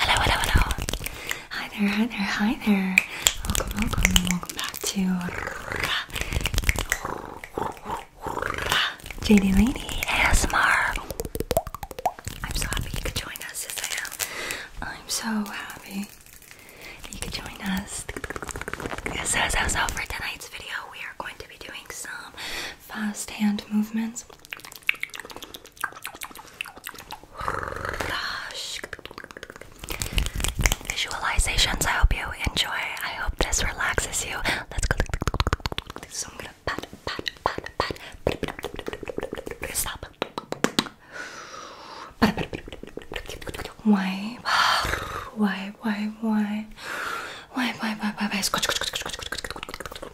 Hello, hello, hello. Hi there, hi there, hi there. Welcome, welcome, welcome back to JD Lady ASMR. I'm so happy you could join us. As I am. I'm so happy you could join us. So, so, so for tonight's video, we are going to be doing some fast hand movements. Visualizations I hope you enjoy. I hope this relaxes you. Let's go. So I'm gonna pat, pat, pat, pat. Stop. Why? Why? Why? Why? Why? Why? Why? Why? Why? Why?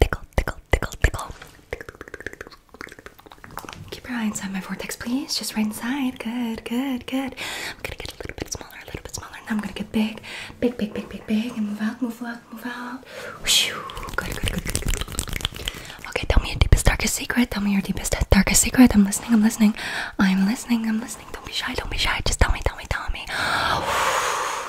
Tickle, tickle, tickle, tickle. Keep your eye inside my vortex, please. Just right inside. Good, good, good. I'm gonna get a little bit smaller, a little bit smaller. Now I'm gonna get big, big, big, big, big, big, and move out, move out, move out. Okay, tell me your deepest, darkest secret. Tell me your deepest, darkest secret. I'm listening, I'm listening. I'm listening, I'm listening. Don't be shy, don't be shy. Just tell me, tell me, tell me.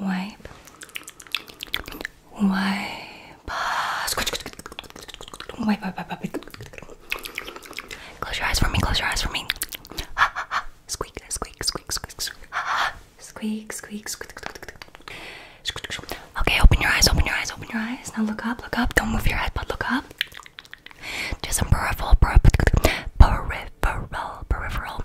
wipe, wipe, squish, wipe, wipe, wipe, wipe. Close your eyes for me. Close your eyes for me. Ha, ha, ha. Squeak, squeak, squeak, squeak, squeak. Ha, ha. Squeak, squeak, squeak, squeak, squeak. Okay, open your eyes. Open your eyes. Open your eyes. Now look up. Look up. Don't move your head, but look up. Just some peripheral, peripheral, peripheral, peripheral.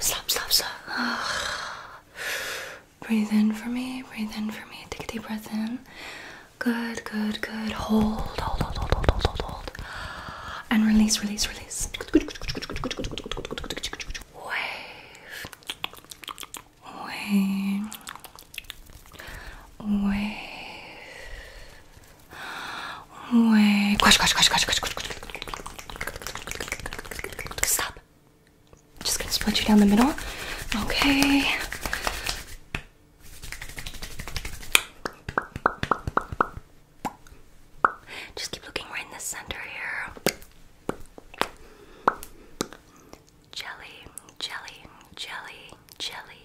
Slap, slap, slap. Breathe in for me. Breathe in for me. Take a deep breath in. Good, good, good. Hold, hold, hold, hold, hold, hold, hold. And release, release, release. Wave. Wave. Wave. Wait. Stop. Just gonna split you down the middle. Okay. Just keep looking right in the center here. Jelly, jelly, jelly, jelly,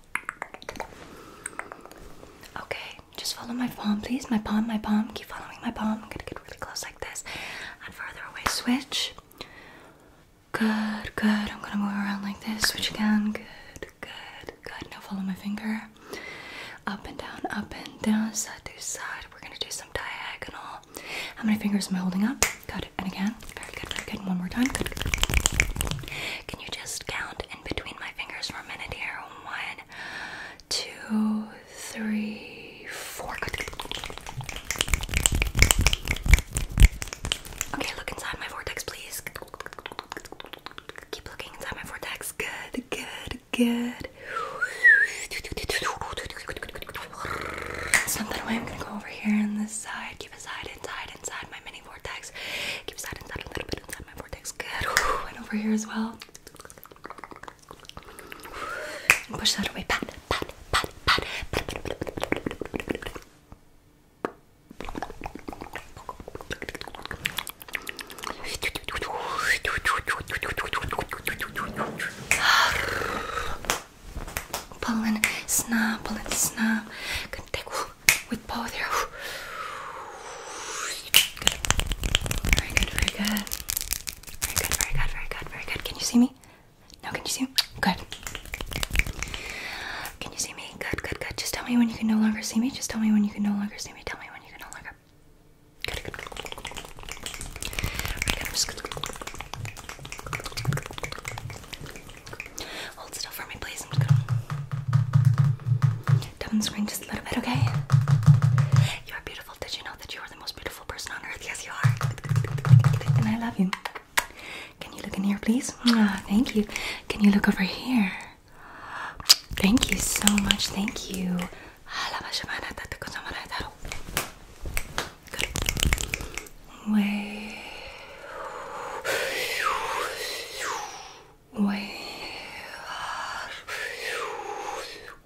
Okay, just follow my palm, please. My palm, my palm. Keep following my palm. I'm gonna get really close like this and further away. Switch. Good, good. I'm gonna move around like this. Switch again. Good, good, good. Now follow my finger. Up and down, up and down, side to side. We're gonna do some diagonal. How many fingers am I holding up? Good. And again. Very good, very One more time. Good, Can you just count in between my fingers for a minute here? one, two, three, four. Okay, look inside my vortex, please. Keep looking inside my vortex. Good, good, good. Something I'm gonna go over here on this side. Keep aside, inside, inside my mini vortex. Keeps that inside a little bit inside my vortex. Good. Whew. And over here as well. And push that away. Pat, pat, pat, pat, pat, pat, pat, pat, pat, pat, pat. Pollen snap, pollen snap. Can take with both of Good. Very good, very good. Very good, very good, very good, very good. Can you see me? No, can you see Good. Can you see me? Good, good, good. Just tell me when you can no longer see me. Just tell me when you can no longer see me. Tell me when you can no longer. Good, good, Very good. just good. Hold still for me, please. I'm just gonna tap on the screen just a little bit, okay? You are beautiful. Did you know that you are the most beautiful person on earth? Yes, you are. And I love you. Can you look in here, please? Oh, thank you. Can you look over here? Thank you so much. Thank you. We are.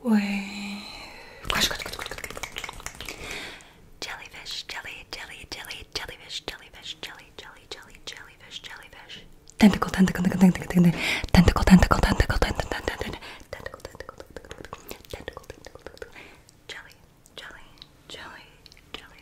We. Gosh, gosh, gosh, gosh, gosh, Jellyfish, jelly, jelly, jelly, jellyfish, jellyfish, jelly, jelly, jelly, jellyfish, jellyfish. tentacle, tentacle, tentacle, tentacle, tentacle, tentacle, tentacle, tentacle, tentacle, tentacle, tentacle, tentacle, jelly, jelly, jelly, jelly,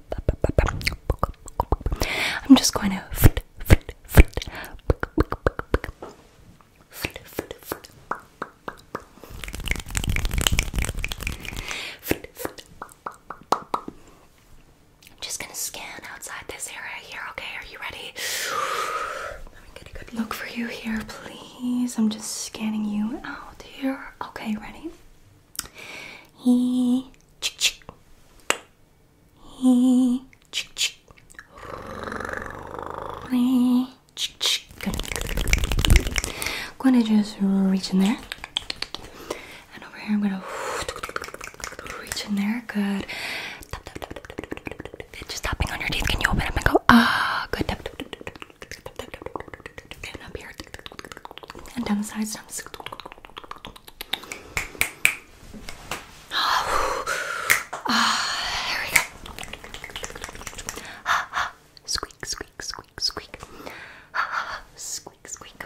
I'm just going to I'm just gonna scan outside this area here, okay? Are you ready? Let me get a good look for you here, please. I'm just scanning you out here. Okay, ready? He chick chick. He chick chick. Chick chick. Good. Gonna just reach in there. And over here I'm gonna reach in there. Good. Just tapping on your teeth. Can you open up and go? Ah, good and up here and down the sides. Down the sides. Ah, there we go. Squeak, squeak, squeak, squeak. Squeak, squeak,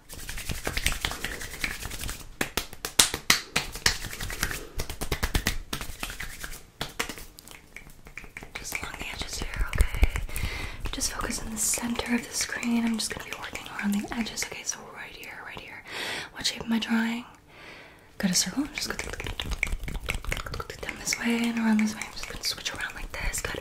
Just along the edges here, okay? Just focus on the center of the screen. I'm just gonna be working around the edges. Okay, so right here, right here. What shape am I drawing? Got a circle. I'm just gonna down this way and around this way. I'm just gonna switch around like this. Good.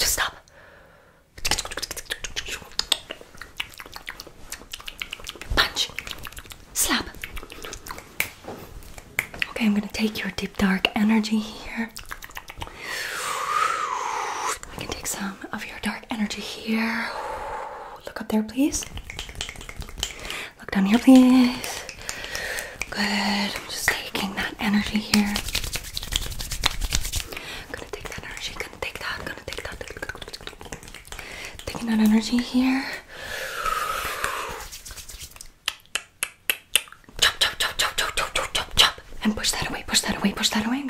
Stop. Punch. Slap. Okay, I'm going to take your deep dark energy here. I can take some of your dark energy here. Look up there, please. Look down here, please. Good. I'm just taking that energy here. gonna take that energy. Gonna take that. Gonna take that. Taking that energy here. Chop, chop, chop, chop, chop, chop, chop, chop, and push that away. Push that away. Push that away.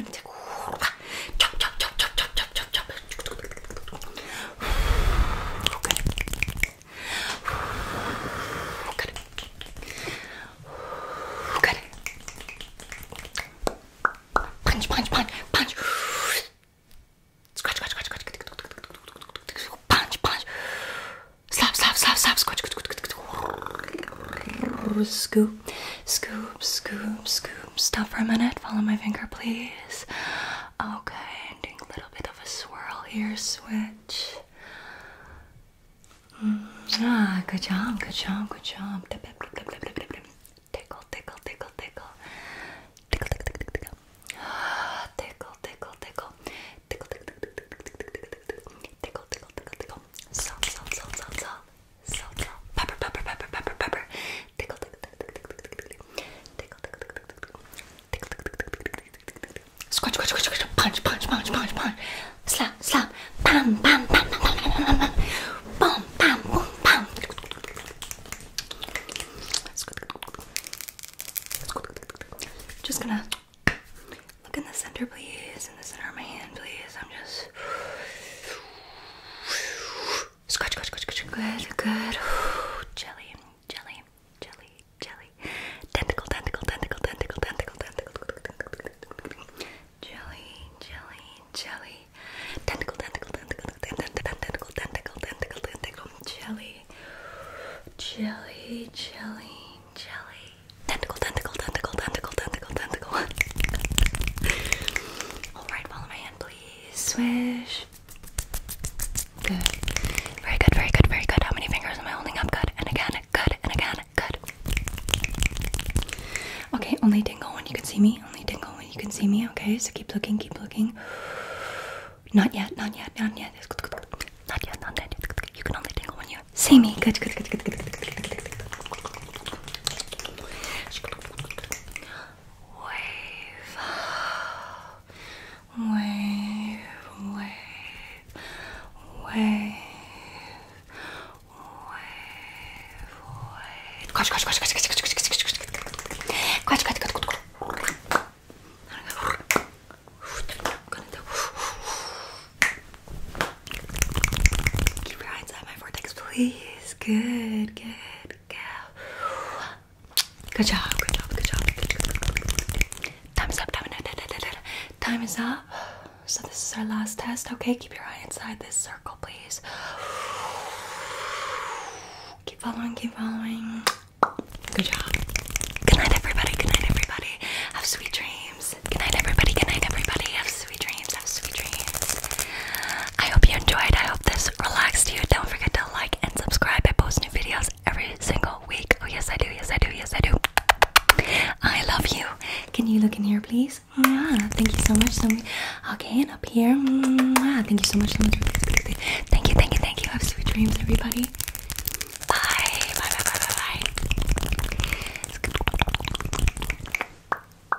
Chop, chop, chop, chop, chop, chop, chop, chop. Okay. Okay. Okay. Punch, punch, punch, punch. Scratch, scratch, scratch, scratch. Punch, punch. Slap, slap, slap, slap. Scratch, scratch, scratch. Scoop, scoop, scoop, scoop. Stop for a minute. Follow my finger, please. Okay, doing a little bit of a swirl here. Switch. Ah, good job, good job, good job. Tickle, tickle, tickle, tickle. Tickle, tickle, tickle, tickle. Tickle, tickle, tickle. Tickle, tickle, tickle, tickle. Tickle, tickle, tickle, tickle. Stop, stop, stop, stop, stop so Punch, punch, punch, punch, punch. Slap, slap. Bam, bam, bam, bam, bam, bam, bam, Boom, boom, Just gonna look in the center, please. In the center of my hand, please. I'm just. Scratch, scratch, scratch, scratch. Good, good. Ooh, jelly, jelly, jelly, jelly. Tentacle, tentacle, tentacle, tentacle, tentacle, tentacle. Jelly, jelly, jelly. Tentacle, tentacle, tentacle, tentacle, tentacle, tentacle, tentacle, tentacle. Jelly, jelly, jelly, jelly. Tentacle, tentacle, tentacle, tentacle, tentacle, tentacle. All right, follow my hand, please. Swish. Good. Very good, very good, very good. How many fingers am I holding up? Good. And again, good. And again, good. Okay, only dingle when you can see me. Only dingle when you can see me. Okay, so keep looking, keep looking. Not yet, not yet, not yet. Not yet, not yet. You can only tingle when you see me. Good, good, good, good, good, good, good, good, good, good. Wave. Wave. Wave. Wave. Wave. Quatsch, quatsch, quatsch, quatsch, quatsch, quatsch, quatsch, quatsch, quatsch, quatsch, quatsch, quatsch, Keep your eyes on my vortex, please. Good, good girl. Good job, good job, good job. Time's up, time, time is up. So, this is our last test. Okay, keep your eye inside this circle, please. Keep following, keep following. Good job. Good night, everybody. Good night, everybody. Have sweet dreams. Good night, everybody. Good night, everybody. Have sweet dreams. Have sweet dreams. I hope you enjoyed. I hope this relaxed you. Don't forget to like and subscribe. I post new videos every single week. Oh, yes, I do. Yes, I do. Yes, I do. I love you. Can you look in here, please? Mwah. Thank you so much. So much. Okay, and up here. Mwah. Thank you so much. So much. Thank you. Thank you. Thank you. Have sweet dreams, everybody. Bye. Bye. Bye. Bye. Bye.